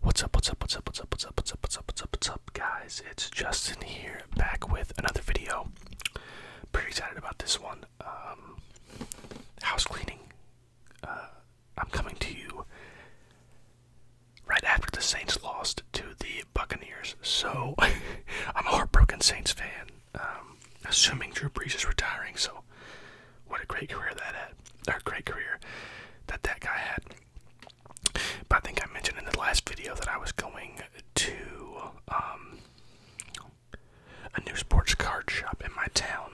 What's up, what's up, what's up, what's up, what's up, what's up, what's up, what's up, what's up, guys? It's Justin here, back with another video. Pretty excited about this one. Um, house cleaning. Uh, I'm coming to you right after the Saints lost to the Buccaneers. So, I'm a heartbroken Saints fan. Um, assuming Drew Brees is retiring, so what a great career that had, or great career that that guy had. But I think I mentioned in the last video that I was going to um, a new sports card shop in my town,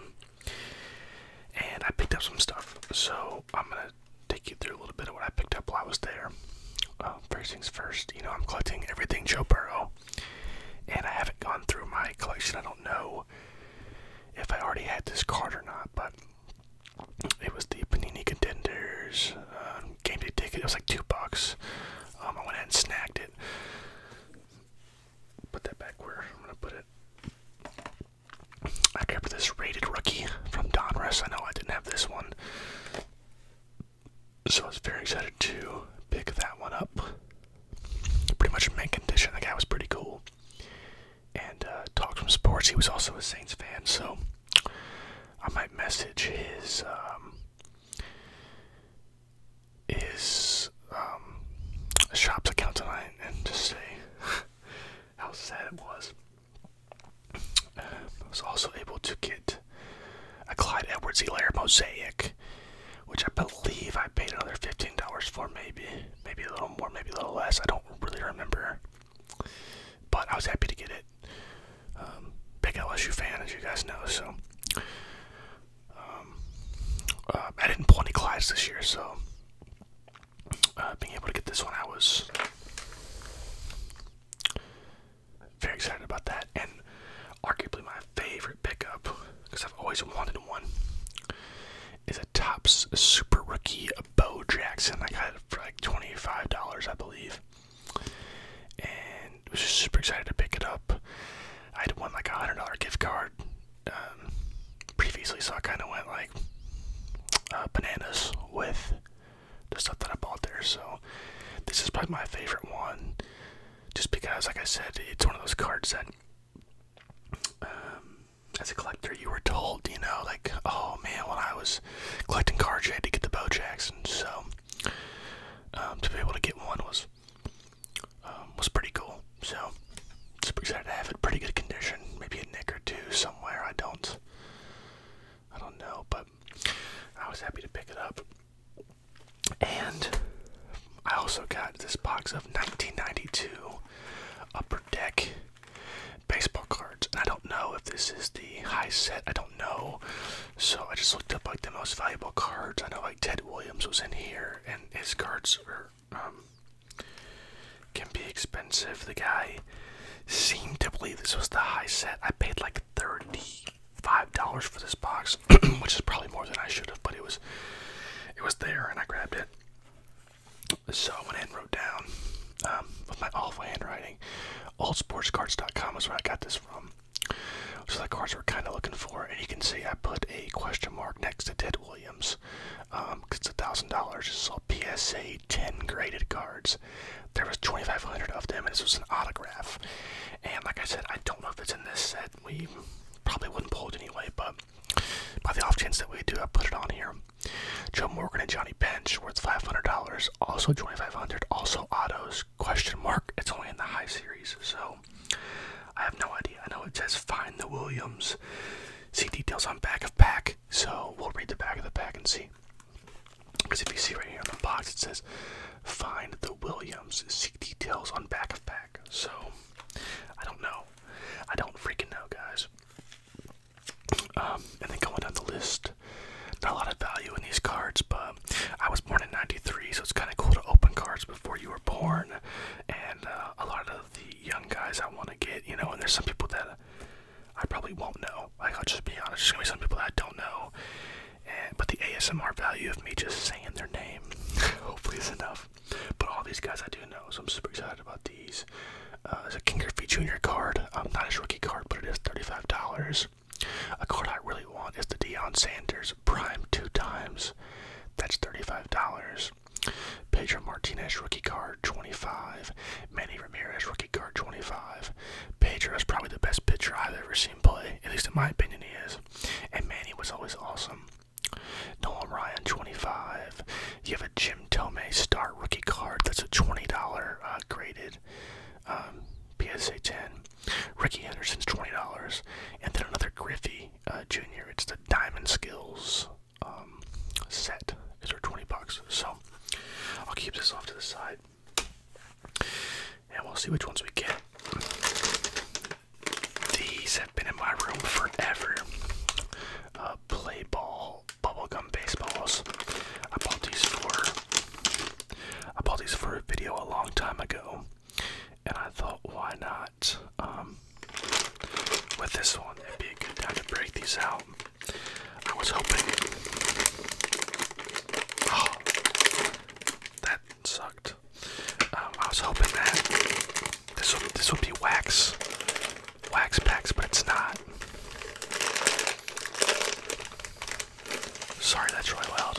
and I picked up some stuff. So I'm gonna take you through a little bit of what I picked up while I was there. Uh, first things first, you know I'm collecting everything Joe Burrow, and I haven't gone through my collection. I don't know if I already had this card or not, but it was the Panini Contenders um, game day ticket. It was like two bucks. Um, I went ahead and snagged it. Put that back where I'm gonna put it. I grabbed this rated rookie from Donruss. I know I didn't have this one, so I was very excited to pick that one up. Pretty much mint condition. The guy was pretty cool and uh, talk some sports. He was also a Saints fan, so I might message his um, his um, shop's account tonight and just say how sad it was. Um, I was also able to get a Clyde Edwards Hilaire mosaic, which I believe I paid another fifteen dollars for, maybe maybe a little more, maybe a little less. I don't really remember, but I was happy to get it. Um, big LSU fan, as you guys know, so um, uh, I didn't pull any Clydes this year, so uh, being able to get this one, I was very excited about that, and arguably my favorite pickup because I've always wanted one is a tops Super Rookie Bo Jackson. I got it for like $25, I believe. And was super excited to pick it up. I had won like a $100 gift card um, previously, so I kind of went like uh, bananas with the stuff that I bought there. So this is probably my favorite one just because, like I said, it's one of those cards that um, as a collector, you were told, you know, like, oh man, when I was collecting cars, you had to get the Bo and So um, to be able to get one was um, was pretty cool. So super excited to have it. Pretty good condition. Maybe a nick or two somewhere. I don't. I don't know, but I was happy to pick it up. And I also got this box of 1992 Upper per deck baseball cards. And I don't know if this is the high set. I don't know. So I just looked up like the most valuable cards. I know like Ted Williams was in here, and his cards are um, can be expensive. The guy seemed to believe this was the high set. I paid like thirty-five dollars for this box, which is probably more than I should have, but it was it was there, and I grabbed it. So I went and wrote down um, with my awful handwriting. Oldsportscards.com is where I got this from. So the cards we're kind of looking for, and you can see I put a question mark next to Ted Williams because um, it's a thousand dollars. This all PSA 10 graded cards. There was 2,500 of them, and this was an autograph. And like I said, I don't know if it's in this set. We probably wouldn't pull it anyway, but by the off chance that we do, I put it on here. Joe Morgan and Johnny Bench, worth five hundred dollars. Also twenty five hundred. Also Otto's Question mark. It's only in the high series, so I have no idea. I know it says find the Williams. See details on back of pack. So we'll read the back of the pack and see. Because if you see right here on the box, it says find the Williams. See details on back of pack. So I don't know. I don't freaking know, guys. Um, and then going down the list, not a lot of value in these cards, but I was born in '93, so it's kind of cool to open cards before you were born. And uh, a lot of the young guys I want to get, you know, and there's some people that I probably won't know. I'll just be honest, there's gonna be some people that I don't know. but the ASMR value of me just saying their name, hopefully, is enough. But all these guys I do know, so I'm super excited about these. Uh, it's there's a King Griffey Jr. card. Um, not his rookie card, but it is $35. A card I really want is the Deion Sanders Prime two times. That's $35. Pedro Martinez rookie card 25. Manny Ramirez rookie card 25. Pedro is probably the best pitcher I've ever seen play, at least in my opinion he is. And Manny was always awesome. Nolan Ryan, 25. You have a Jim Tomei Star Rookie card. That's a $20 uh, graded um, PSA 10. Ricky Henderson's $20. And then another Griffey uh, Jr. It's the Diamond Skills um, set. Is there 20 bucks? So I'll keep this off to the side. And we'll see which ones we get. These have been in my room forever uh, play ball bubble gum, baseballs. I bought these for I bought these for a video a long time ago, and I thought, why not? Um, with this one, it'd be a good time to break these out. I was hoping. Oh, that sucked. Um, I was hoping that this this would be wax, wax packs, but it's not. Sorry, that's really loud.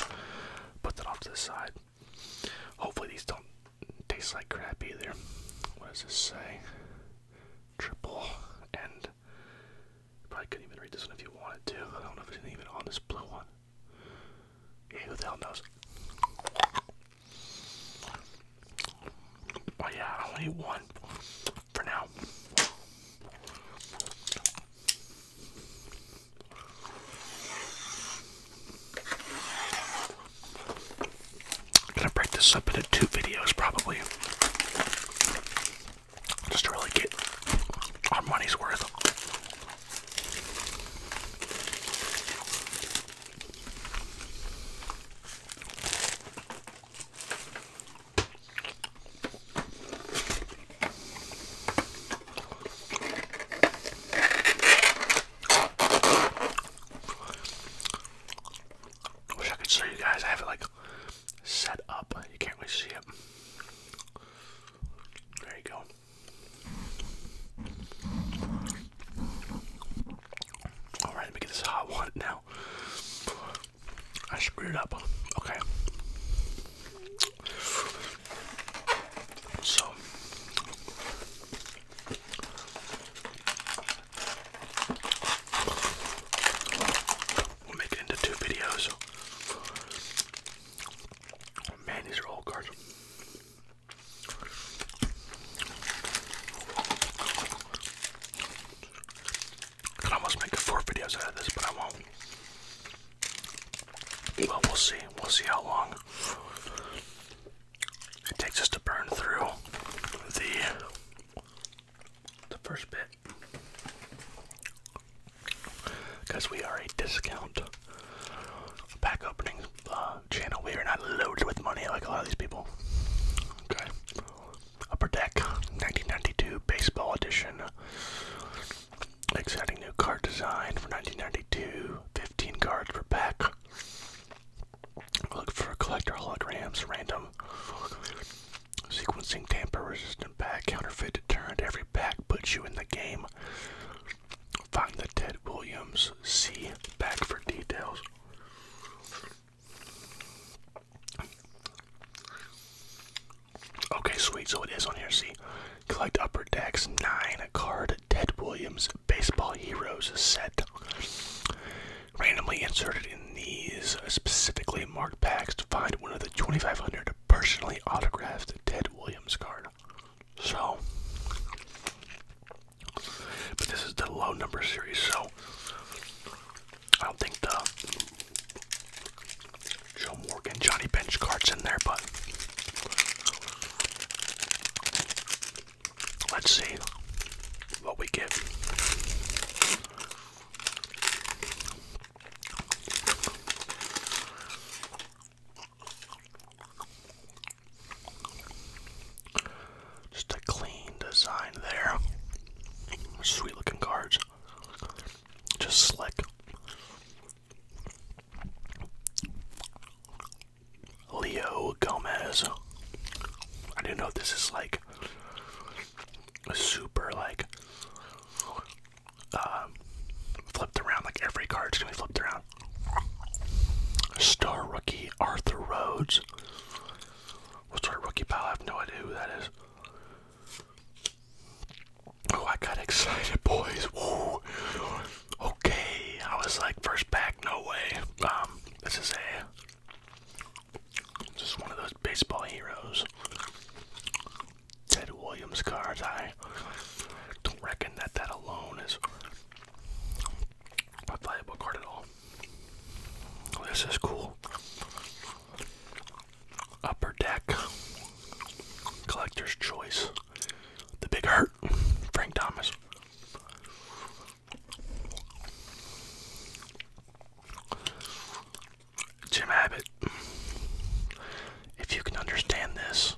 Put that off to the side. Hopefully, these don't taste like crap either. What does this say? Triple and probably couldn't even read this one if you wanted to. I don't know if it's even on this blue one. who the hell knows? But oh, yeah, I only one for now. gonna break this up into two videos probably. Just to really get our money's worth. I wish I could show you guys. I have it like set up. You can't really see it. There you go. All right, let me get this hot one now. I screwed it up. Okay. So. We'll make it into two videos. Man, these are old cards. I could almost make four videos out of this, but I won't. Well, we'll see. We'll see how long it takes us to burn through the the first bit, because we are a discount pack opening uh, channel. We are not loaded with money like a lot of these people. Okay. Upper Deck 1992 Baseball Edition. Exciting new card design for 1992. 15 cards per pack. Look for collector holograms, random. Sequencing tamper resistant pack, counterfeit deterrent. Every pack puts you in the game. Find the Ted Williams C back for details. Okay, sweet. So it is on here. See, collect upper decks nine card Ted Williams baseball heroes set. Randomly inserted in these uh, specifically marked packs to find one of the 2,500 personally autographed Ted Williams card. So but this is the low number series, so I don't think the Joe Morgan, Johnny Bench cards in there, but let's see what we get. Just a clean design there. Sweet looking cards. Just slick. Leo Gomez. I didn't know this is like a super like uh, flipped around. Like every card's gonna be flipped around. Star rookie Arthur Rhodes. What's our rookie pal? I have no idea who that is. Oh, I got excited, boys. Whoa. Okay, I was like, first pack, no way. Um, this is a just one of those baseball heroes. Ted Williams cards. I don't reckon that that alone is a playable card at all. This is cool. Upper Deck, Collector's Choice, The Big Hurt, Frank Thomas. Jim Abbott, if you can understand this,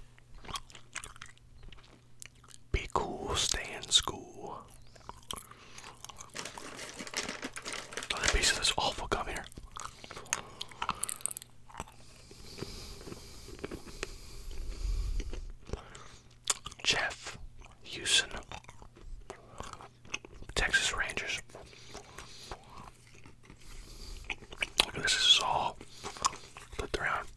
be cool, stay in school. Another piece of this awful gum here. Jeff Houston, Texas Rangers. Look at this, this is all flipped around.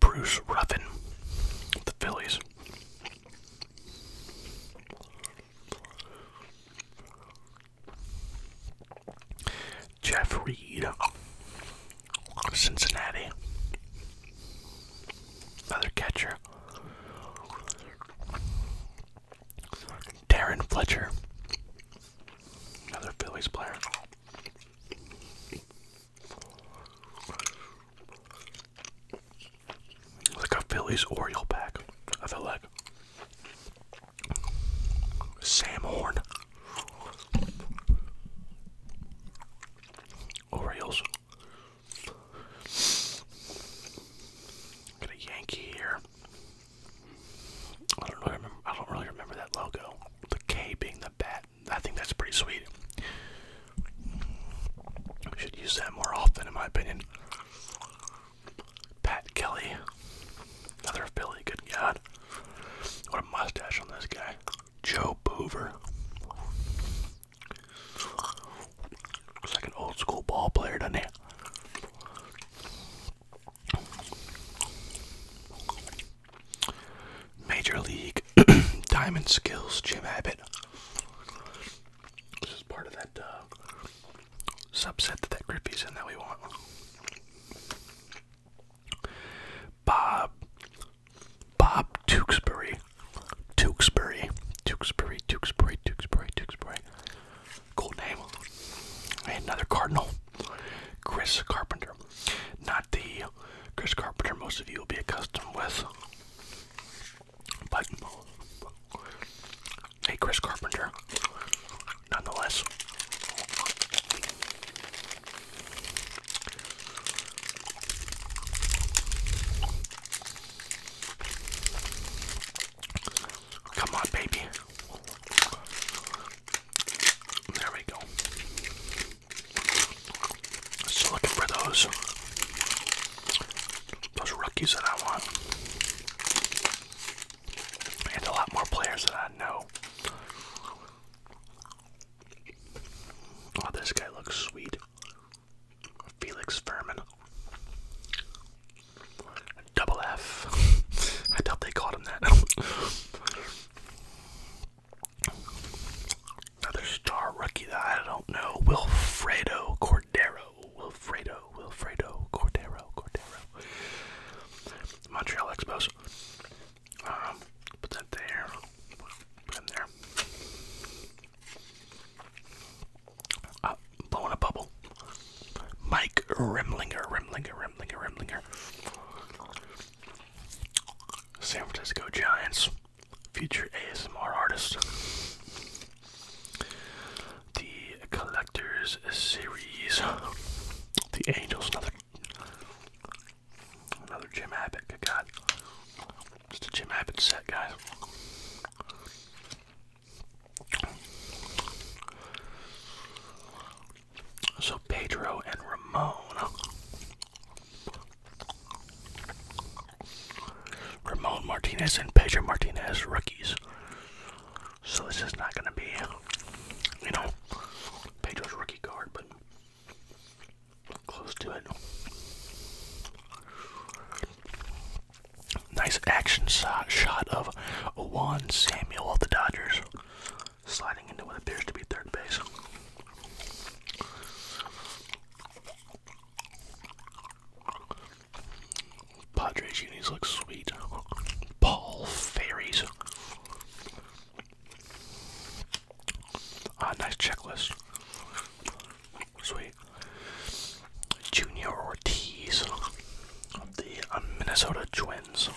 Bruce Ruffin, the Phillies. Jeff Reed, Cincinnati. Another catcher. Darren Fletcher, Another Phillies player. Like a Phillies Oriole pack, I feel like. Sam Horn. Orioles. Got a Yankee here. I don't really remember. I don't really remember that logo. The K being the bat. I think that's pretty sweet. We should use that more often, in my opinion. Pat Kelly, another Philly. Good God, what a mustache on this guy. Joe Boover. Looks like an old school ball player, doesn't he? Major League Diamond Skills Jim Abbott. This is part of that uh, subset that that in that we want. Bob, Bob Tewksbury, Tewksbury, Tewksbury, Tewksbury, Tewksbury, Tewksbury, Cool name. Another Cardinal, Chris Carpenter. Not the Chris Carpenter most of you will be accustomed with, but a Chris Carpenter nonetheless. Come on, baby. There we go. Still looking for those those rookies that I want, and a lot more players that I know. Oh, this guy looks sweet. Felix Furman. Double F. I doubt they called him that. Another star rookie that I don't know. Wilfredo Cordero. Wilfredo. Wilfredo Cordero. Cordero. Montreal Expos. Um, put that there. Put him there. Uh, blowing a bubble. Mike Remlinger, Remlinger, Remlinger, Remlinger. San Francisco Giants, future ASMR artist. The Collectors series. The Angels, another another Jim Abbott. Good God, just a Jim Abbott set, guys. So Pedro and Ramon. Ramon Martinez and Pedro Martinez rookies. So this is not gonna be you know Pedro's rookie card, but close to it. Nice action shot, of Juan Samuel of the Dodgers sliding into what appears to be third base. Padres unis look sweet. Paul Fairies. Ah, nice checklist. Sweet. Junior Ortiz of the um, Minnesota Twins.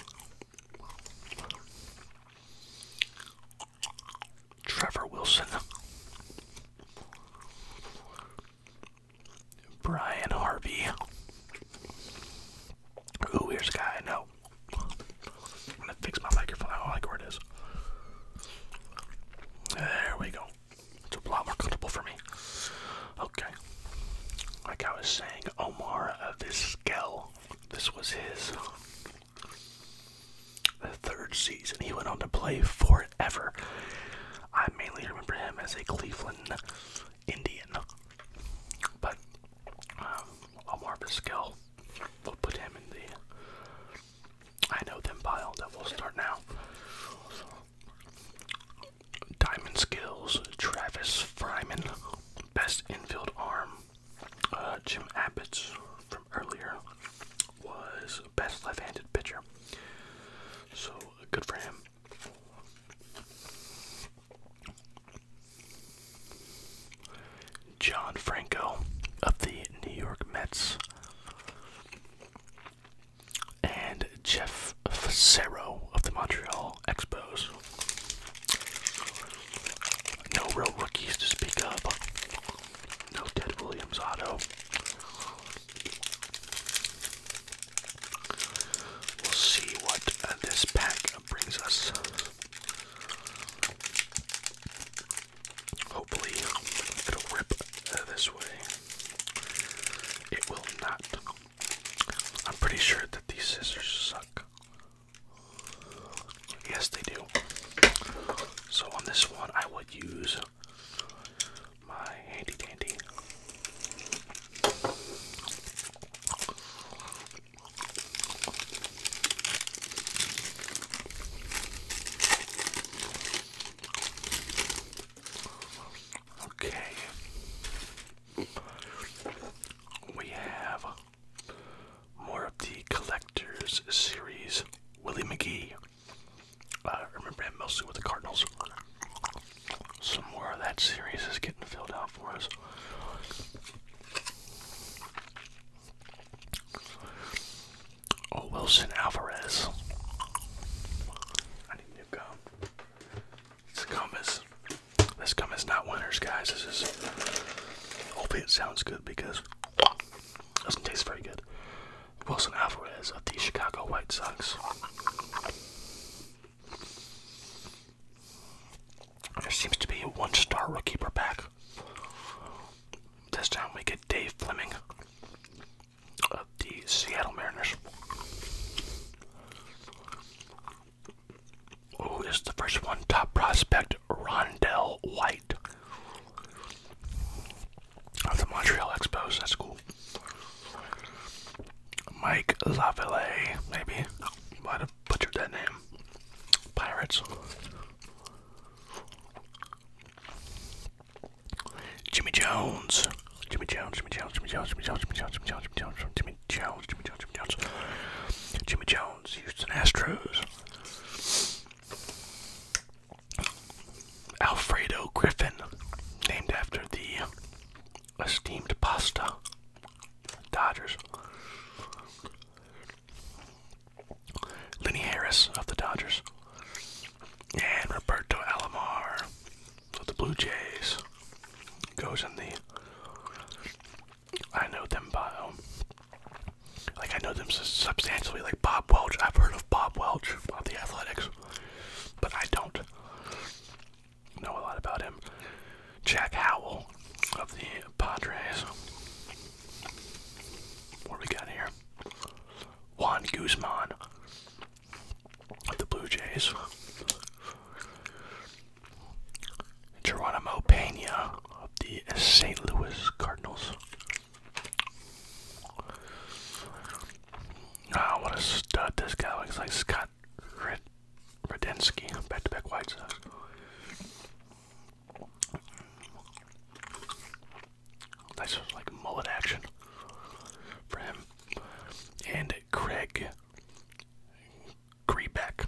Trevor Wilson, Brian Harvey. Ooh, here's a guy I know. I'm gonna fix my microphone. I don't like where it is. There we go. It's a lot more comfortable for me. Okay. Like I was saying, Omar of uh, this Skell, this was his third season. He went on to play forever. I mainly remember him as a Cleveland Indian. But um, Omar Vizquel, we'll put him in the I Know Them pile that we'll start now. Diamond Skills, Travis Fryman, best infield arm. Uh, Jim Abbott's from earlier was best left-handed pitcher. So good for him. John Franco of the New York Mets and Jeff Facero of the Montreal Expos. No real rookies to speak of. No Ted Williams auto. We'll see what uh, this pack brings us. Hopefully, it'll rip uh, this way. It will not. I'm pretty sure that these scissors suck. Yes, they do. So on this one, I would use my handy dandy. Okay. We have more of the collectors series. Willie McGee. I remember him mostly with the Cardinals. Some more of that series is getting filled out for us. Oh, Wilson Alvarez. I need new gum. This compass. This compass not winners, guys. This is. Hopefully, it sounds good because it doesn't taste very good. Wilson Alvarez of the Chicago White Sox. There seems to be a one star rookie per pack. This time we get Dave Fleming of the Seattle Mariners. Who is the first one? Top prospect Rondell White of the Montreal Expos. That's cool. Mike Lavallee, maybe. Might have butchered that name. Pirates. Jimmy Jones. Jimmy Jones, Jimmy Jones, Jimmy Jones, Jimmy Jones, Jimmy Jones, Jimmy Jones, Jimmy Jones, Jimmy Jimmy Jones, Jimmy Jones, Jimmy Jones, Jimmy Jones, Houston Astros. Alfredo Griffin, named after the esteemed pasta Dodgers. Lenny Harris of the Dodgers. And Roberto Alomar so the Blue Jays goes in the I know them bio. Um, like I know them substantially, like Bob Welch. I've heard of Bob Welch of the Athletics, but I don't know a lot about him. Jack Howell of the Padres. What we got here? Juan Guzman the Blue Jays. Geronimo Pena of the St. Louis Cardinals. Ah, oh, what a stud this guy looks like. Scott Red Redensky, back to back White This Nice, like mullet action for him. And Craig Greebeck.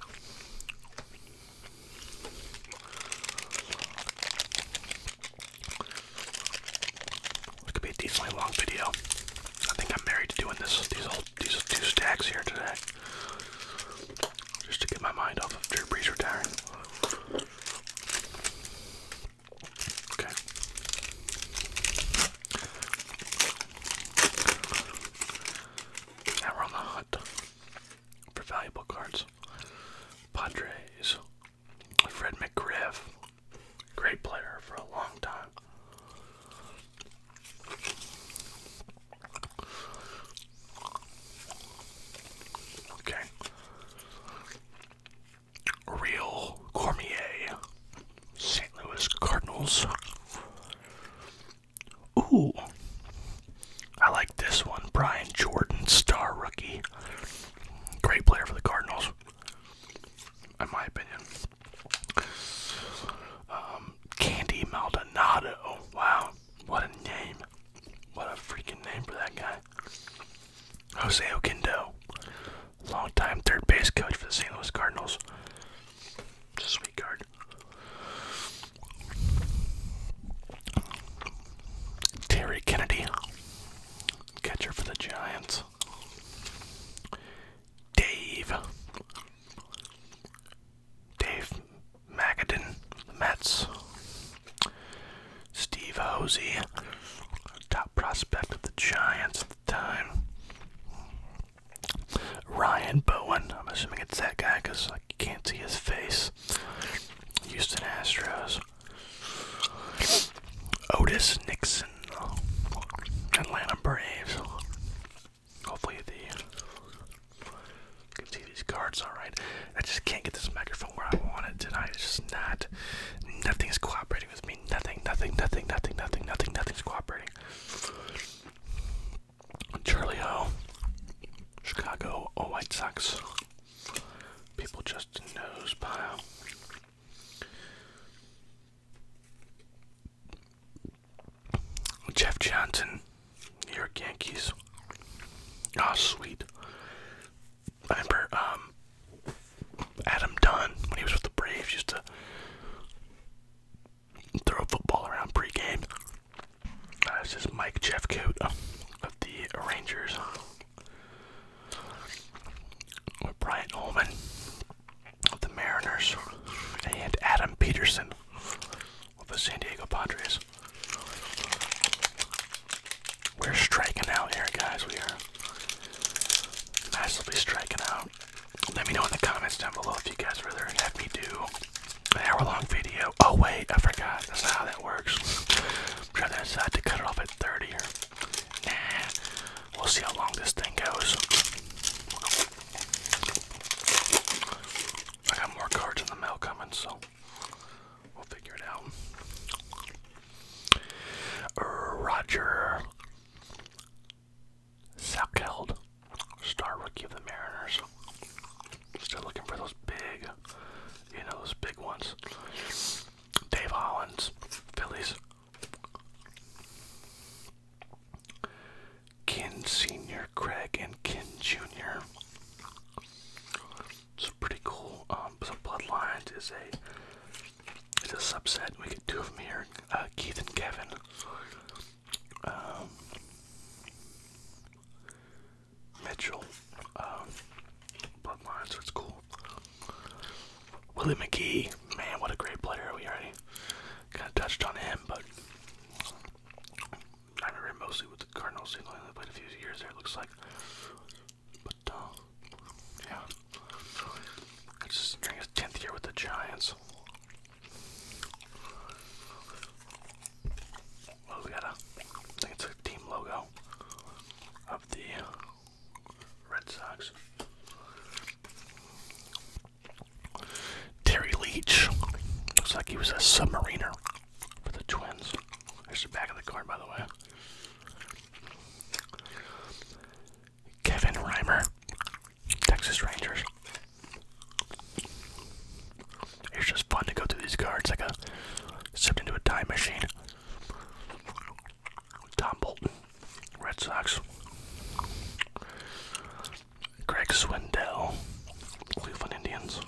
It could be a decently long video. I think I'm married to doing this these old these two stacks here today. Just to get my mind off of Drew Brees retiring. Okay. Now we're on the hunt for valuable cards. Padres. Fred McGriff. Great player for a long time. Okay. Real Cormier. St. Louis Cardinals. Ooh, I like this one. Brian Jordan, star rookie. Great player for the Cardinals, in my opinion. Um, Candy Maldonado. Wow, what a name. What a freaking name for that guy. Jose Okindo longtime third base coach for the St. Louis Cardinals. sweet card. Terry Kennedy, catcher for the Giants. Dave. Dave Magadin, Mets. Steve Hosey, top prospect of the Giants at the time. Ryan Bowen. I'm assuming it's that guy because I can't see his face. Houston Astros. Otis Nixon. Atlanta Braves. Hopefully the you can see these cards alright. I just can't get this microphone where I want it tonight. It's just not Nothing is cooperating with me. Nothing, nothing, nothing, nothing, nothing, nothing, nothing's cooperating. Charlie Churlio, Chicago, or White Sox. People just nose pile. Jeff Johnson, New York Yankees. Ah, oh, sweet. I remember um, Adam Dunn, when he was with the Braves, used to throw football around pregame. Uh, this is Mike Jeffcoat of the Rangers. Brian Ullman of the Mariners. And Adam Peterson of the San Diego Padres. We're striking out here, guys. We are massively striking out let me know in the comments down below if you guys would rather have me do an hour-long video. Oh wait, I forgot. That's not how that works. I'm trying to decide to cut it off at 30 or nah. We'll see how long this thing goes. I got more cards in the mail coming, so we'll figure it out. Roger Salkeld, star rookie of the Mariners. Still looking for those big, you know, those big ones. Dave Hollins, Phillies. Kin Senior, Craig, and Kin Junior. It's pretty cool. Um, Bloodlines is a it's a subset. We get two of them here, uh, Keith and Kevin. Um, Mitchell, um, it's cool. Willie McGee, man, what a great player. Are We already kind of touched on him, but I remember mostly with the Cardinals. He only played a few years there, it looks like. But, uh, yeah. Just during his 10th year with the Giants. Well, we got a, I think it's a team logo of the Red Sox. Terry Leach. Looks like he was a submariner for the Twins. There's the back of the card, by the way. Kevin Reimer. Texas Rangers. It's just fun to go through these cards like a stepped into a time machine. Tom Bolton, Red Sox. Greg Swindell, Cleveland Indians.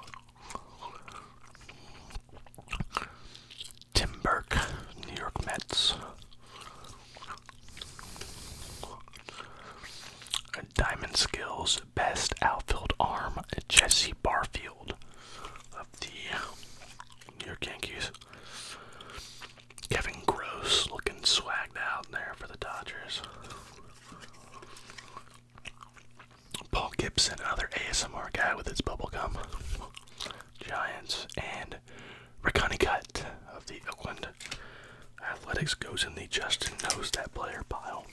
Tim Burke, New York Mets. Diamond Skills best outfield arm Jesse Barfield of the New York Yankees. Kevin Gross looking swagged out there for the Dodgers. Paul Gibson, another ASMR guy with his bubble gum. Giants and and Cut of the Oakland Athletics goes in the Justin knows that player pile.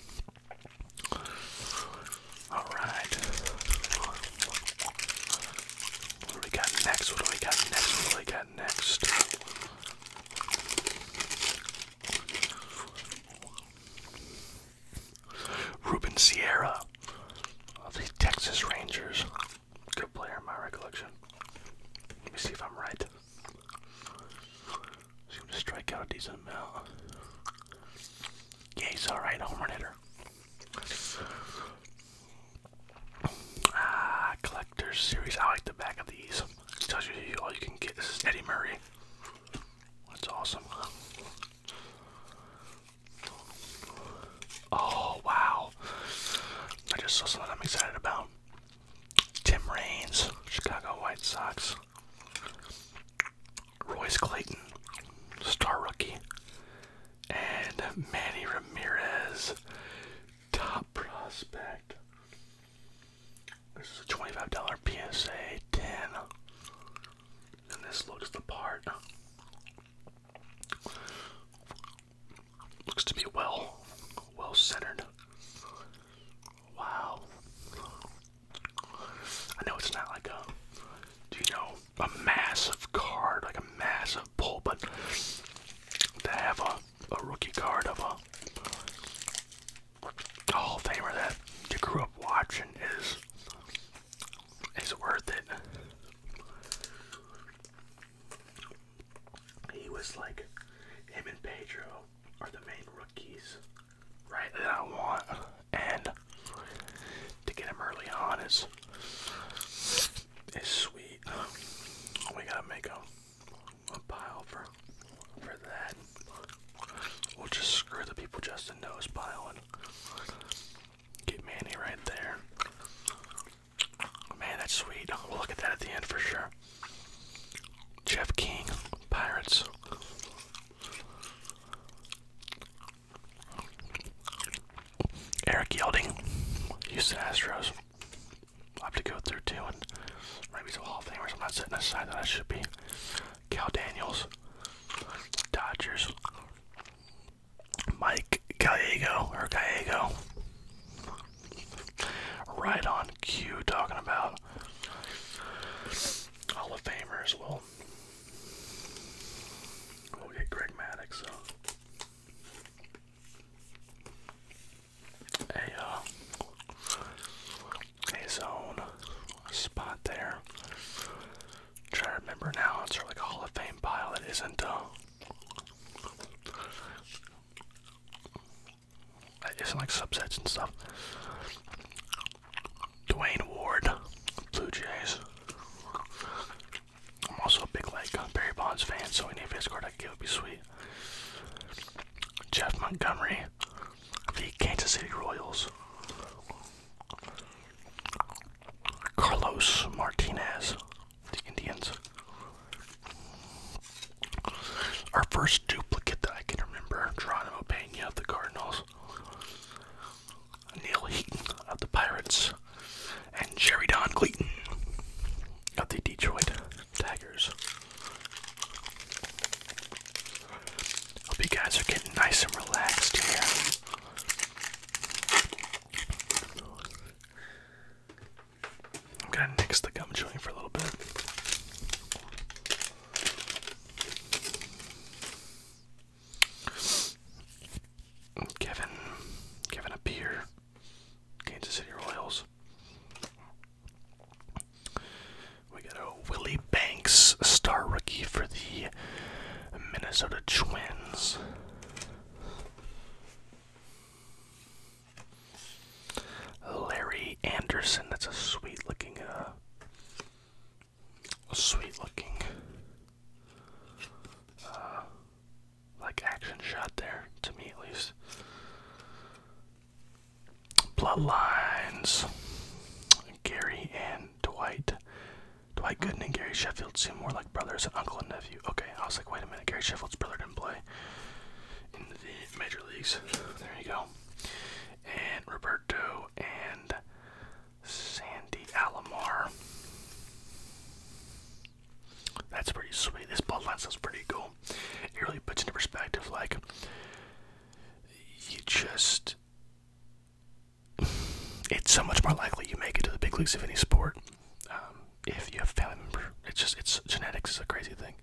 All right. What do we got next? What do we got next? What do we got next? Ruben Sierra of the Texas Rangers good player my recollection. Let me see if I'm right. He's to strike out a decent amount. Yeah, he's alright, home run hitter. Ah, Collector's Series. I like the back of these. tells you all you can get. This is Eddie Murray. That's awesome. Oh wow! I just saw something I'm excited about. Tim Raines, Chicago White Sox. Royce Clayton, star rookie, and Manny Ramirez, top prospect. This is a twenty-five dollar PSA ten, and this looks the part. Looks to be well, well centered. Wow. I know it's not like a, you know, a massive card, like a massive pull, but to have a, a rookie card of a Hall of Famer that you grew up watching is is worth it he was like, him and Pedro are the main rookies, right? That I want, and to get him early on is is sweet. We gotta make a a pile for for that. We'll just screw the people Justin knows pile and get Manny right there. Man, that's sweet. We'll look at that at the end for sure. Jeff King, Pirates. Eric Yelding, Houston Astros. i have to go through two and maybe some Hall of Famers I'm not setting aside that I should be. Cal Daniels, Dodgers. Mike Gallego, or Gallego, right on cue talking about Hall of Famers. Well, we'll get Greg Maddox. So. A, uh, spot there. i to remember now, it's sort like Hall of Fame pile that isn't uh, it's like subsets and stuff. Dwayne Ward, Blue Jays. I'm also a big like Barry Bonds fan, so any face card I could give would be sweet. Jeff Montgomery, the Kansas City Royals. Carlos Martinez, the Indians. Our first duplicate that I can remember, Geronimo Pena of the Cardinals, Neil Heaton of the Pirates, and Jerry Don Cleaton of the Detroit Tigers. Hope you guys are getting nice and relaxed here. I'm gonna nix the gum chewing for a little bit. Kevin, Kevin a beer. Kansas City Royals. We got a Willie Banks star rookie for the Minnesota Twins. Larry Anderson. That's a sweet looking, uh, sweet looking, uh, like action shot there, to me at least. Bloodlines. Gary and Dwight. Dwight Gooden and Gary Sheffield seem more like brothers and uncle and nephew. Okay, I was like, wait a minute minute I Gary Sheffield's brother didn't play in the major leagues. There you go. And Roberto and Sandy Alomar. That's pretty sweet. This ball bloodline stuff's pretty cool. It really puts into perspective, like, you just. It's so much more likely you make it to the big leagues of any sport. Um, if you have family member. It's just it's genetics is a crazy thing.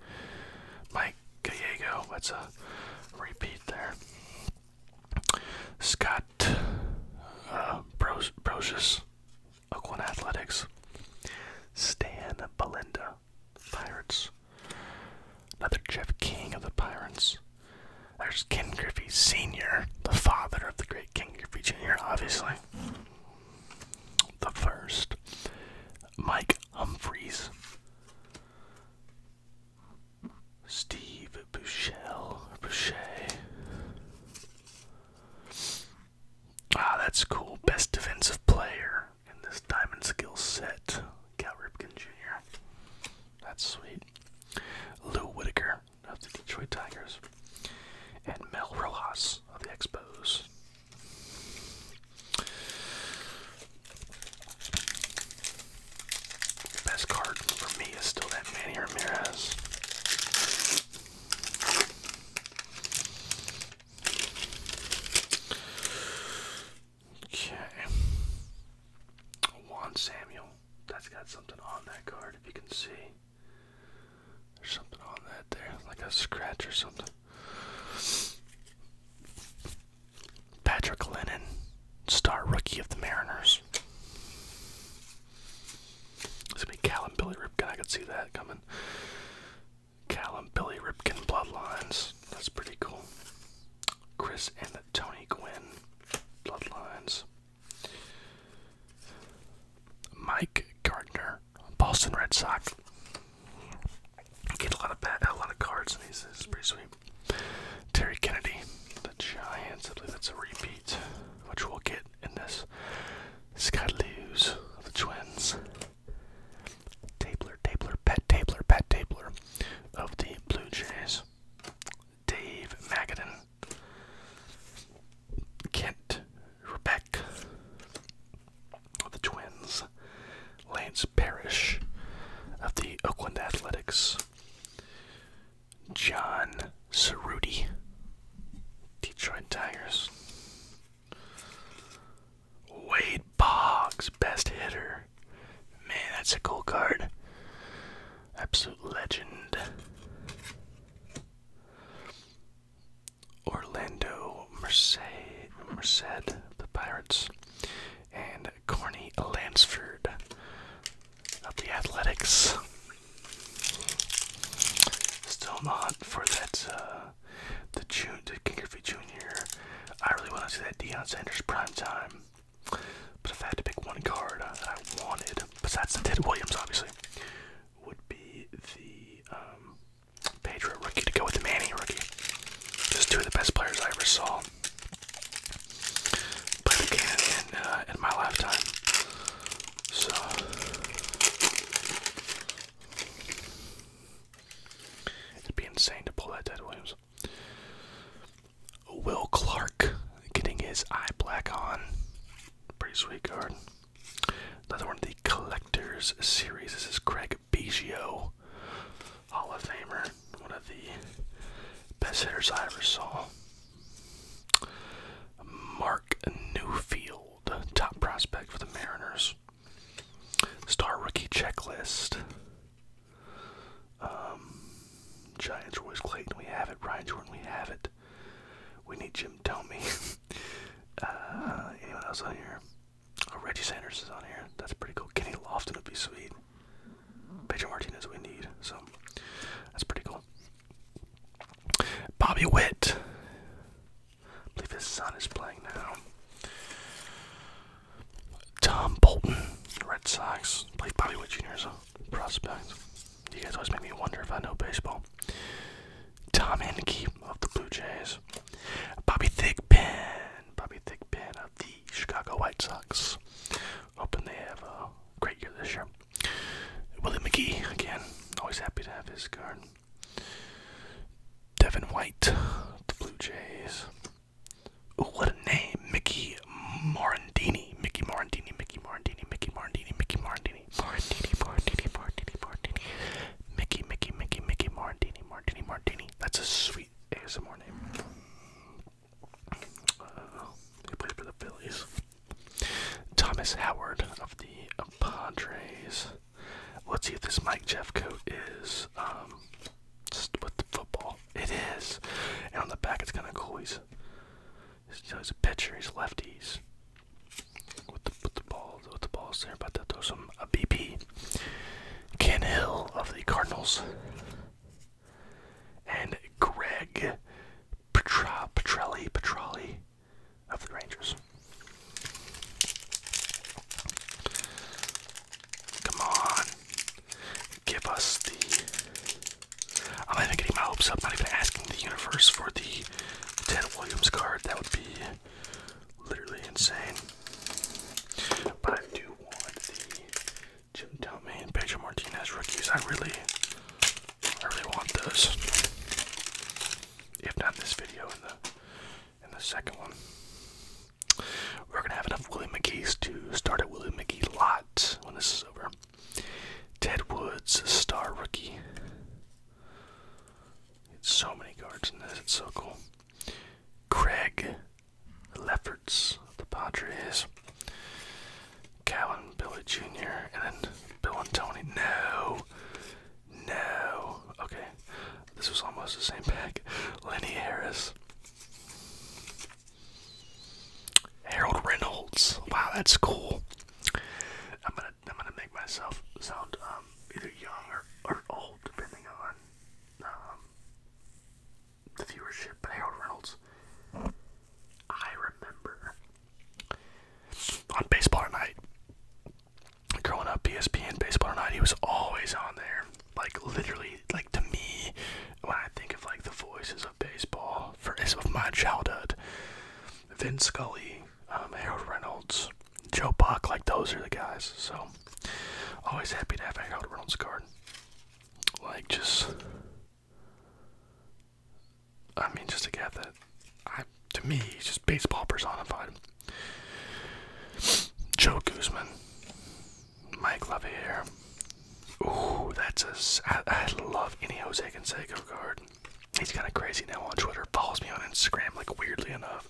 Mike Gallego, what's a repeat there. Scott Bros uh, Brosius, Oakland Athletics. Stan Belinda, Pirates. Another Jeff King of the Pirates. There's Ken Griffey Sr., the father of the great Ken Griffey Jr., obviously the first, Mike Humphreys, Steve Bouchel, Boucher. Ah, that's cool. Best defensive player in this diamond skill set. Cal Ripken Jr. That's sweet. Lou Whitaker of the Detroit Tigers and Mel Rojas of the Expos. best card for me is still that Manny Ramirez. Okay. Juan Samuel. That's got something on that card if you can see. There's something on that there, like a scratch or something. Patrick Lennon, star rookie of the Mariners. It's gonna be Callum Billy Ripkin. I could see that coming. Callum Billy Ripkin Bloodlines. That's pretty cool. Chris and Tony Gwynn Bloodlines. Mike Gardner Boston Red Sox. Get a lot of a lot of cards in these. pretty sweet. Terry Kennedy, the Giants. I believe that's a repeat, which we'll get in this. Scott of the Twins. Tabler, Tabler, Pat Tabler, Pat Tabler of the Blue Jays. Dave Magadan Kent, Rebeck, the Twins, Lance Parrish of the Oakland Athletics, John Cerruti, Detroit Tigers, Wade Boggs, best hitter. Man, that's a cool card. Absolute legend. Orlando Merced, Merced, the Pirates, and Corny Lansford of the Athletics. Still not for that, uh, the June, the Kingerfee Jr. I really want to see that Dion Sanders prime time. But if I had to pick one card that I wanted, besides the Ted Williams, obviously, would be the um, Pedro rookie to go with the Manny rookie. Just two of the best players I ever saw play the game in, uh, in my lifetime. So. It'd be insane to pull that Ted Williams. Will Clark getting his eye black on. Pretty sweet card. Another one of the collectors series. This is Craig Biggio, Hall of Famer, one of the best hitters I ever saw. Mark Newfield, top prospect for the Mariners. Star rookie checklist. Um, Giants, Royce Clayton, we have it. Brian Jordan, we have it. We need Jim Tomey. Uh, anyone else on here? Oh, Reggie Sanders is on here. That's pretty cool. Kenny Lofton would be sweet. Pedro Martinez we need. So that's pretty cool. Bobby Witt. I believe his son is playing now. Tom Bolton, Red Sox. Played Bobby Witt Jr. as a prospect. You guys always make me wonder if I know baseball. Tom Henke of the Blue Jays, Bobby Thigpen, Bobby Thigpen of the Chicago White Sox. Hoping they have a great year this year. Willie McGee again, always happy to have his card. Devin White, the Blue Jays. what a name, Mickey Morandini, Mickey Morandini, Mickey Morandini, Mickey Morandini, Mickey Morandini, Martini, Martini, Martini, Martini, Mickey, Mickey, Mickey, Mickey, Martini, Martini, Martini. That's a sweet ASMR name. Uh, he for the Phillies. Thomas Howard of the Padres. Let's see if this Mike Jeffcoat is um, with the football. It is. And on the back, it's kind of cool. He's, he's a pitcher. He's lefties with the with with the balls there, about to throw some a BP. Ken Hill of the Cardinals and Greg Petrelli Petrelli of the Rangers. Come on. Give us the I'm even getting my hopes up, not even asking the universe for the 10 Williams card. That would be literally insane. But I do want the Jim Tomey and Pedro Martinez rookies. I really, I really want those. If not this video, in the in the second one, we're gonna have enough Willie McGee's to start a Willie McGee lot when this is over. Ted Woods, star rookie. It's so many cards in this, it's so cool. Craig Lefferts the Padres. Callan Billy Jr. and then Bill and Tony. No. No. Okay. This was almost the same pack. Lenny Harris. Harold Reynolds. Wow, that's cool. I'm gonna I'm gonna make myself sound um, either young or, or old depending on um, the viewership. But Harold Reynolds, I remember on Baseball Tonight. Growing up, ESPN Baseball Tonight, he was always on there. Like literally, like to me, when I think of like the voices of baseball for of my childhood, Vin Scully, um, Harold Reynolds, Joe Buck. Like those are the guys. So always happy to have a Harold Reynolds card. Like just, I mean, just to get that, I, to me, he's just baseball personified. Joe Guzman, Mike Levier. Ooh, that's a. I love any Jose Canseco card. He's kind of crazy now on Twitter. Follows me on Instagram, like weirdly enough.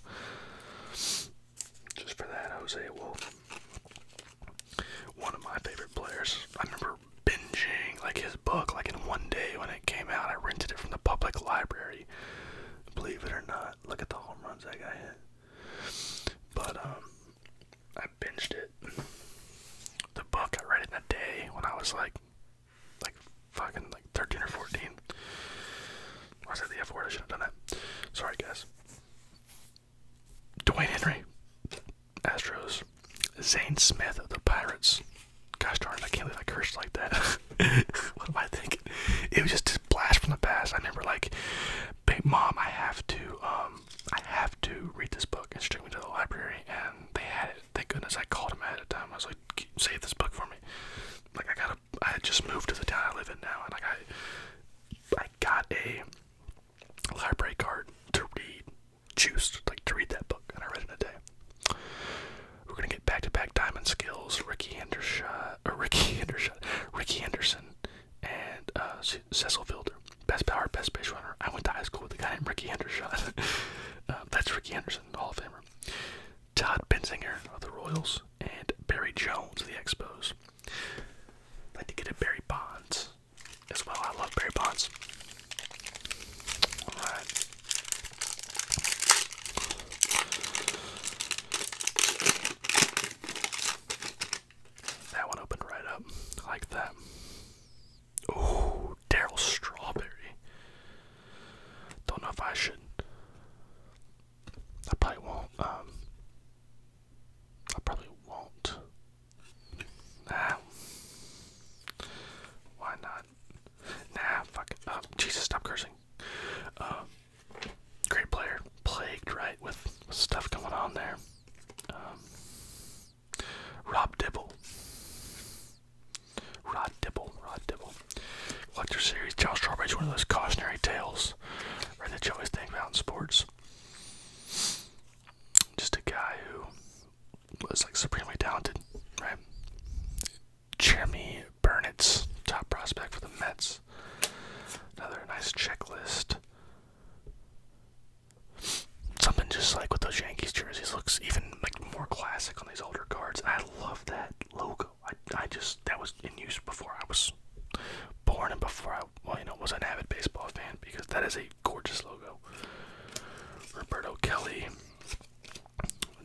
Just for that, Jose Wolf, one of my favorite players. I remember binging like his book, like in one day when it came out. I rented it from the public library. Believe it or not, look at the home runs I got hit. But um, I binged it. The book I read in a day when I was like like fucking like 13 or 14. I said the F word, I should have done that. Sorry, guys. Dwayne Henry, Astros. Zane Smith of the Pirates. Gosh darn it, I can't believe I cursed like that. what am I thinking? It was just a blast from the past. I remember like, Big Mom, I have to, um, I have to read this book. And she took me to the library and they had it thank goodness I called him ahead of time. I was like, save this book for me. Like I gotta, I just moved to the town I live in now, and like I, I got a library card to read, juiced like to read that book, and I read it in a day. We're gonna get back-to-back diamond skills. Ricky Hendershot, uh, Ricky Hendershot, Ricky Henderson, and uh, Cecil Fielder. Best power, best base runner. I went to high school with a guy named Ricky Hendershot. Uh, that's Ricky Henderson, Hall of Famer. Todd Bensinger of the Royals and Barry Jones of the Expos. I'd to get a Barry Bonds as well. I love Barry Bonds. That one opened right up. like that. Ooh, Daryl Strawberry. Don't know if I should. I probably won't. Um, I probably won't. Nah. Why not? Nah, fuck um, Jesus, stop cursing. Um, great player. Plagued, right, with, stuff going on there. Rob Dibble. Rod Dibble, Rod Dibble. Collector Series, Charles is one of those cautionary tales, right, the you always think about sports. Just a guy who was like supremely talented, right? Jeremy Burnett's top prospect for the Mets. Another nice checklist. Something just like with those Yankees jerseys looks even like more classic on these older cards. I love that logo. I, I just that was in use before I was born and before I well you know was an avid baseball fan because that is a gorgeous logo. Roberto Kelly,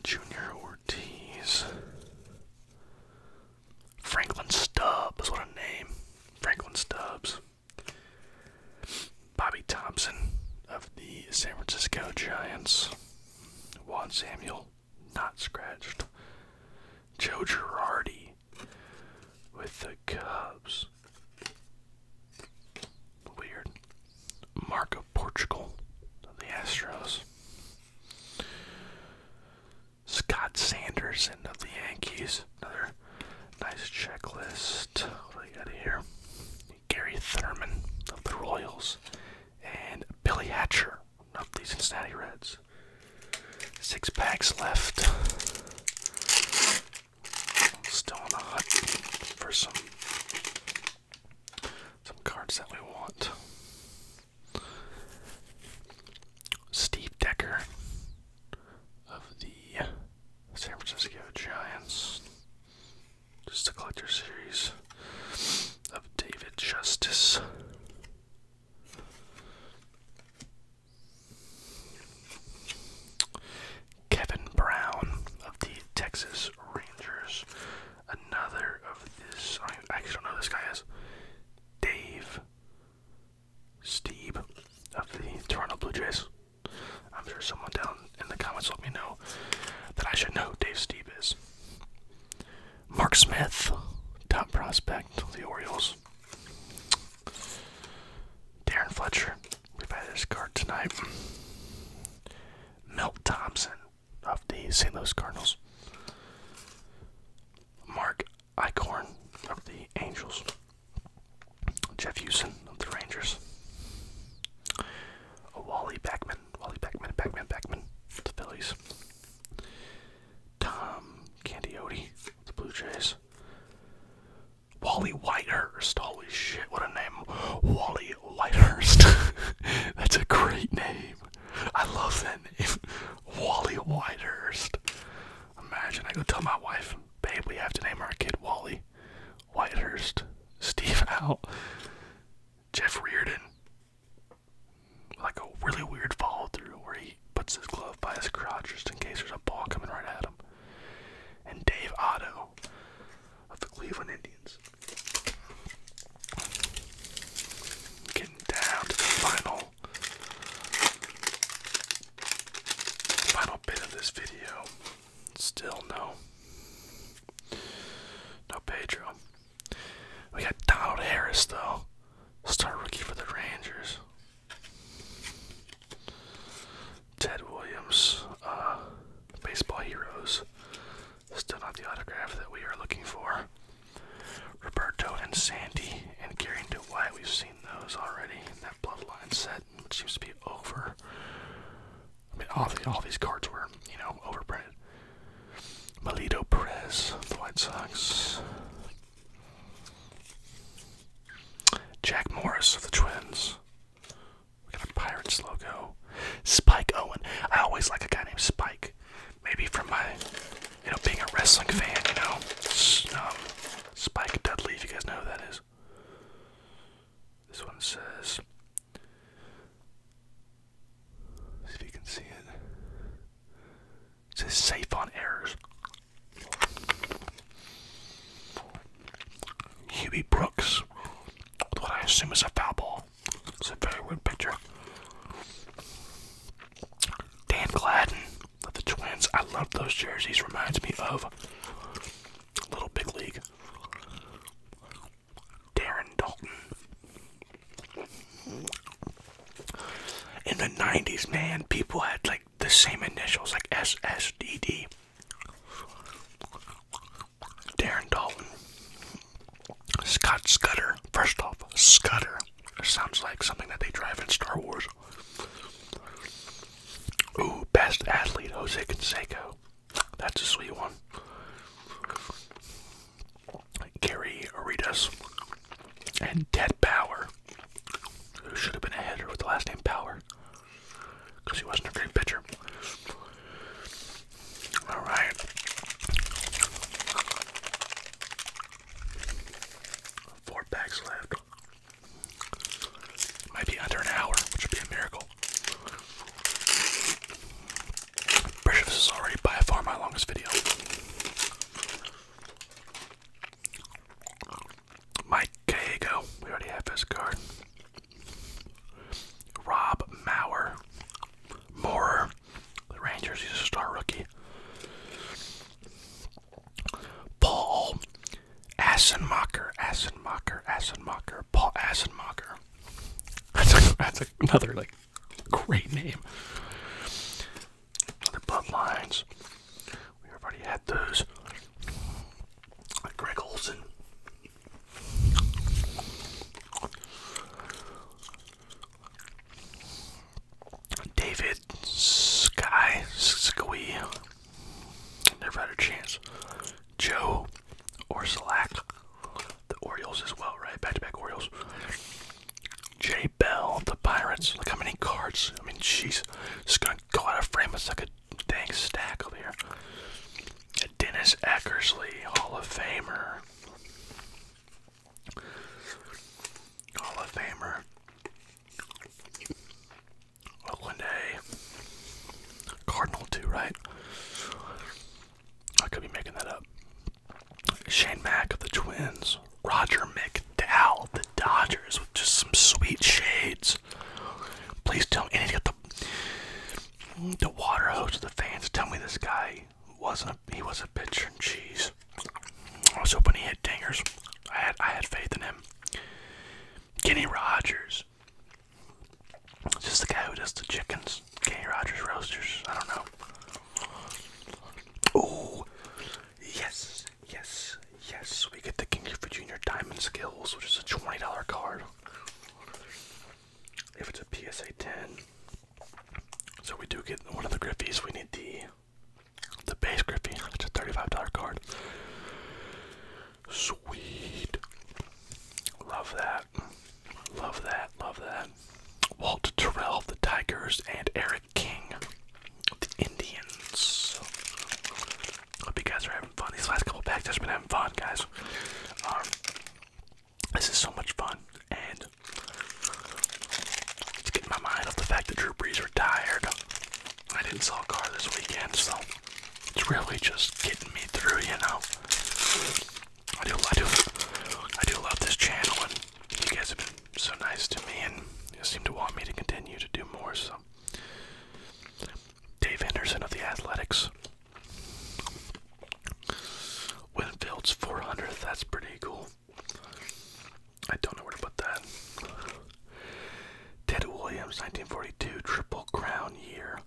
Junior Ortiz, Franklin Stubbs. What a name, Franklin Stubbs. Bobby Thompson of the San Francisco Giants. Juan Samuel, not scratched. Joe Girardi with the Cubs. Weird. Marco Portugal, the Astros. Scott Sanderson of the Yankees. Another nice checklist. What do I got here? Gary Thurman of the Royals, and Billy Hatcher of the Cincinnati Reds. Six packs left. Still on the hunt for some some cards that we want. Steve Decker of the San Francisco Giants. This is the collector series of David Justice. Kevin Brown of the Texas Rangers. Another of this. I, actually don't know this guy is. Dave Steve of the Toronto Blue Jays. I'm sure someone down in the comments will let me know that I should know who Dave Steve is. Mark Smith, top prospect of the Orioles. Darren Fletcher, we've had his card tonight. Milt Thompson of the St. Louis Cardinals. Mark Icorn of the Angels. Jeff Houston of the Rangers. Wally Backman Wally Pac-Man, pac the Phillies. Tom Candiotti, the Blue Jays. Wally Whitehurst, holy shit, what a name. Wally Whitehurst. That's a great name. I love that name. Wally Whitehurst. Imagine I go tell my wife, babe, we have to name our kid Wally Whitehurst. Steve out. Jeff Reardon, like a really weird follow through where he puts his glove by his crotch just in case there's a ball coming right at him, and Dave Otto of the Cleveland Indians. Getting down to the final, final bit of this video. Still no. No Pedro. We got Donald Harris though. Star rookie for the Rangers. Ted Williams, uh, baseball heroes. Still not the autograph that we are looking for. Roberto and Sandy and Gary and Dwight, we've seen those already in that bloodline set, which seems to be over. I mean, all, the, all these cards were, you know, overprinted. Melito Perez, of the White Sox. Jack Morris of the Twins. We got a Pirates logo. Spike Owen. I always like a guy named Spike. Maybe from my, you know, being a wrestling fan, you know. Um, Spike Dudley, if you guys know who that is. This one says See if you can see it. says safe on errors. Huey Brooks. What I assume is a foul ball. It's a very weird picture. Dan Gladden of the Twins. I love those jerseys. Reminds me of Little Big League. Darren Dalton. In the 90s, man, people had like the same initials, like SSDD. Darren Dalton. Scott Scudder. First off, Scudder. Sounds like something that they drive in Star Wars. Ooh, best athlete, Jose Canseco. That's a sweet one. Gary Aritas and Ted Power, who should have been a hitter with the last name Power, because he wasn't a great pitcher. All right. Four packs left. Might under an hour, which would be a miracle. I'm pretty sure this is already by far my longest video. Mike Gallego, we already have his card. Rob Maurer, Moorer, the Rangers, he's a star rookie. Paul Assenmacher, Assenmacher, Assenmacher, Paul Assenmacher. That's, another like great name. The Bloodlines. We already had those. Greg Olson. David Sky Squee. Never had a chance. Joe or The Orioles as well, right? Back to back Orioles. Jay Bell, the Pirates. Look how many cards. I mean, jeez. It's gonna go out of frame. It's like a dang stack over here. Dennis Eckersley, Hall of Famer. Hall of Famer. Oakland Cardinal, too, right? I could be making that up. Shane Mack of the Twins. Roger McDowell the Dodgers with just some sweet shades. Please tell me. And he got the, the water hose of the fans. Tell me this guy wasn't a, he was a pitcher. Jeez. I was hoping he hit dingers. I had I had faith in him. Kenny Rogers. Just the guy who does the chickens. Kenny Rogers Roasters. I don't know. Oh, yes, yes, yes. We get the King Clifford Jr. Diamond Skills, which is a $20 card. If it's a PSA 10. So we do get one of the Griffies. We need the the base Griffy, which is a $35 card. Sweet. Love that. Love that. Love that. Walt Terrell of the Tigers and Eric King the Indians. Hope you guys are having fun. These last couple packs have been having fun, guys. Um, this is so much fun, and it's getting my mind off the fact that Drew Brees retired. I didn't sell a car this weekend, so it's really just getting me through, you know. I do, I do, I do love this channel, and you guys have been so nice to me, and you seem to want me to continue to do more. So, Dave Anderson of the Athletics, Winfield's 400th. That's pretty cool. I don't know where to put that. Ted Williams, 1942, Triple Crown year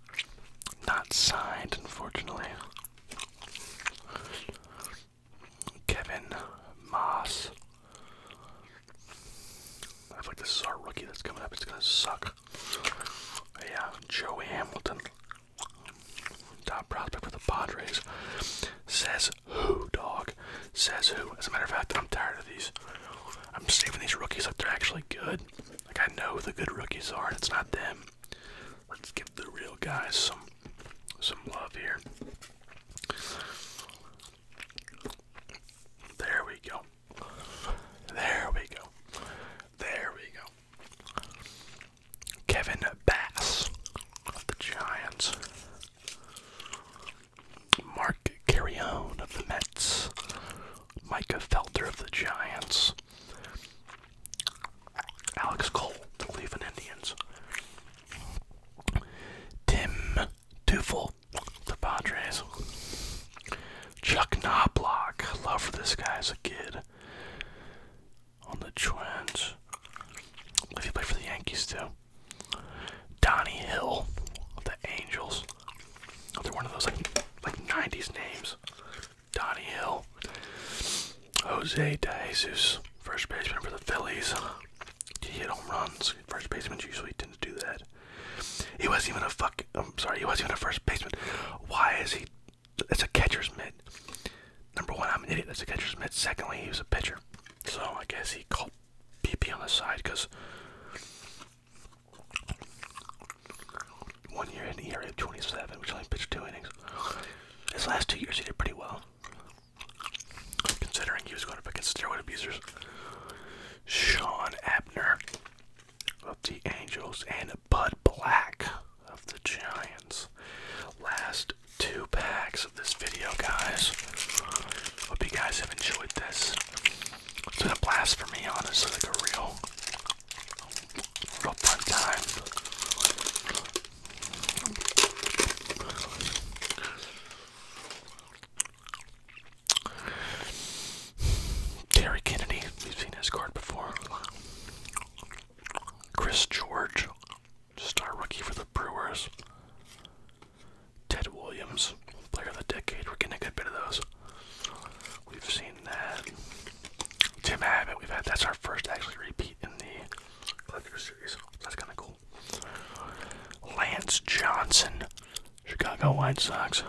not signed, unfortunately. Kevin Moss. I feel like this is our rookie that's coming up. It's gonna suck. Yeah, Joey Hamilton, top prospect for the Padres. Says who, dog? Says who? As a matter of fact, I'm tired of these. I'm saving these rookies like they're actually good. Like I know who the good rookies are, and it's not them. Let's give the real guys some some love here. There we go. There we go. There we go. Kevin Bass of the Giants. Mark Carrion of the Mets. Micah Felter of the Giants, Alex Cole, the Cleveland Indians, Tim Duffel, the Padres, Chuck Knobloch, love for this guy as a kid, on the Twins, if he played for the Yankees too, Donnie Hill of the Angels, oh, they're one of those like, like 90s names. Donnie Hill, Jose De Jesus, first baseman for the Phillies. He hit home runs. First baseman usually didn't do that. He wasn't even a fuck. I'm sorry. He wasn't even a first baseman. Why is he? It's a catcher's mitt. Number one, I'm an idiot. That's a catcher's mitt. Secondly, he was a pitcher. So I guess he called BP on the side because one year in the area of 27, which only pitched two innings. His last two years, he did pretty well, considering he was going up against steroid abusers. Sean Abner of the Angels and Bud Black of the Giants. Last two packs of this video, guys. Hope you guys have enjoyed this. It's been a blast for me, honestly, like a real up time. Terry Kennedy, we've seen his card before. Chris George, star rookie for the Brewers. Ted Williams, player of the decade. We're getting a good bit of those. We've seen that. Tim Abbott, we've had that's our first actually repeat in the collector series. That's kinda cool. Lance Johnson, Chicago White Sox.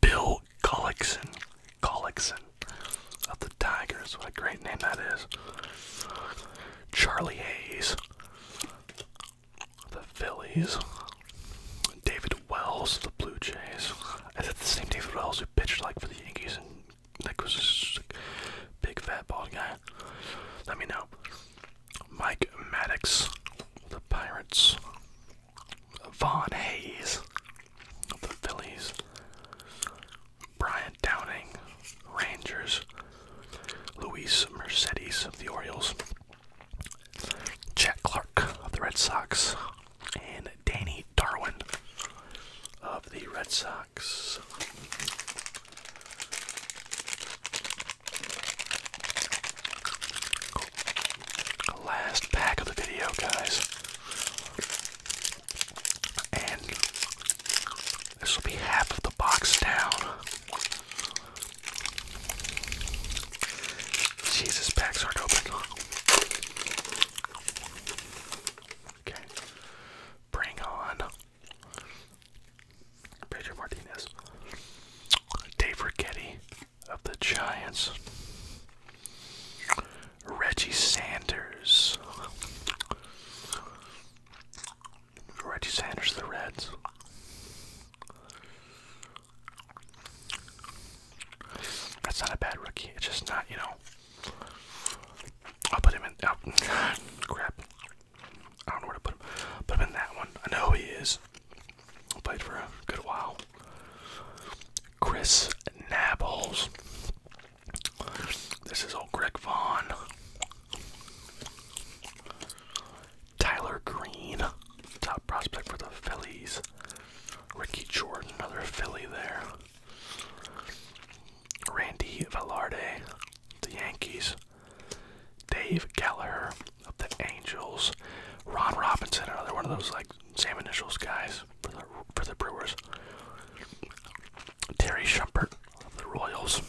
Bill Collickson. Collickson of the Tigers. What a great name that is. Charlie Hayes the Phillies, David Wells, the Blue Jays. Is it the same David Wells who pitched like for the Yankees and like was just big fat bald guy? Let me know. Mike Maddox, the Pirates. Vaughn Hayes, of the Phillies. Brian Downing, Rangers. Luis Mercedes of the Orioles. Jack Clark of the Red Sox and Danny Darwin of the Red Sox. Last pack of the video, guys. And this will be half of the box down. Jesus, packs aren't open. Okay. Bring on Pedro Martinez. Dave Rigetti of the Giants. Reggie Sanders. Reggie Sanders, of the Reds. That's not a bad rookie. It's just not, you know. I'll put him in. Oh, crap. I don't know where to put him. Put him in that one. I know he is. Played for a good while. Chris Nabbles. This is old Greg Vaughn. Tyler Green, top prospect for the Phillies. Ricky Jordan, another Philly there. Randy Valarde, the Yankees. Dave Gallagher of the Angels. Ron Robinson, another one of those like same initials guys for the for the Brewers. Terry Shumpert of the Royals.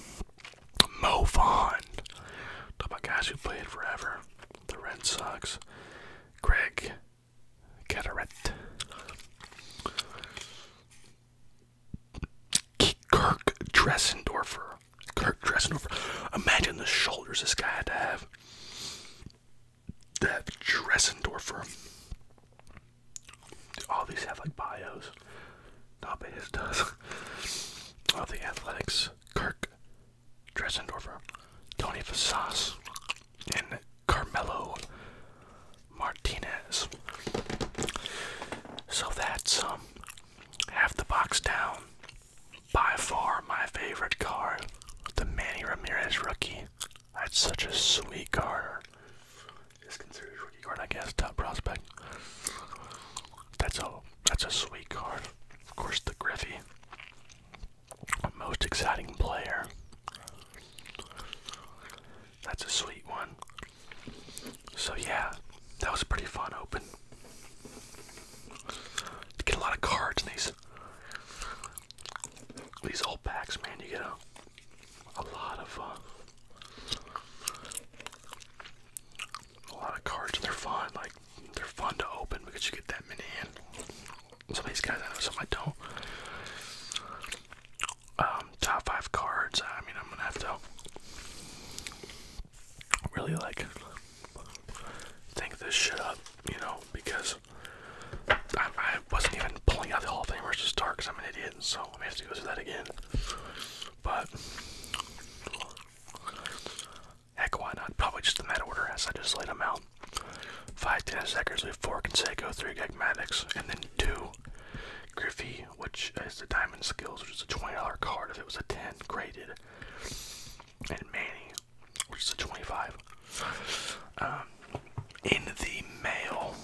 Mo Vaughn. Talk about guys who played forever the Red Sox, Greg Gatorette. Kirk Dressendorfer. Kirk Dressendorfer. Imagine the shoulders this guy had to have. That Dressendorfer. All these have like bios. Not but his does. Of the Athletics. Kirk Dressendorfer, Tony Fasas, and Carmelo Martinez. So that's um, half the box down. By far my favorite card, the Manny Ramirez rookie. That's such a sweet card. It's considered a rookie card, I guess, top prospect. That's a that's a sweet card. Of course, the Griffey, most exciting player. That's a sweet one. So yeah, that was pretty fun open. get a lot of cards in these these old packs, man. You get a a lot of. Uh, a lot of cards and they're fun. Like they're fun to open because you get that many in. Some of these guys I know, some I don't. Um, top five cards. I mean, I'm gonna have to really like think this shit up, you know, because I, I wasn't even pulling out the Hall of Famers to start because I'm an idiot, so I may have to go through that again. But Heck, why not? Probably just in that order as I just laid them out. Five tennis seconds with four Conseco, three Gagmatics, and then two Griffey, which is the Diamond Skills, which is a $20 card if it was a 10 graded, and Manny, which is a 25. Um, in the mail,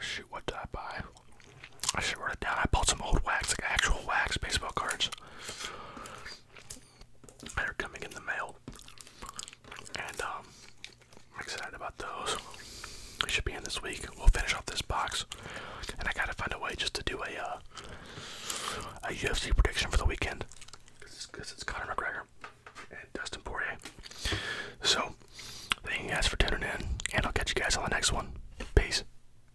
shoot, what did I buy? I should write it down. I bought some old wax, like actual wax baseball cards. They're coming in the mail. And um, I'm excited about those. They should be in this week. We'll finish off this box. And I gotta find a way just to do a uh, a UFC prediction for the weekend. Because it's Conor McGregor and Dustin Poirier. So, thank you guys for tuning in, and I'll catch you guys on the next one. Peace.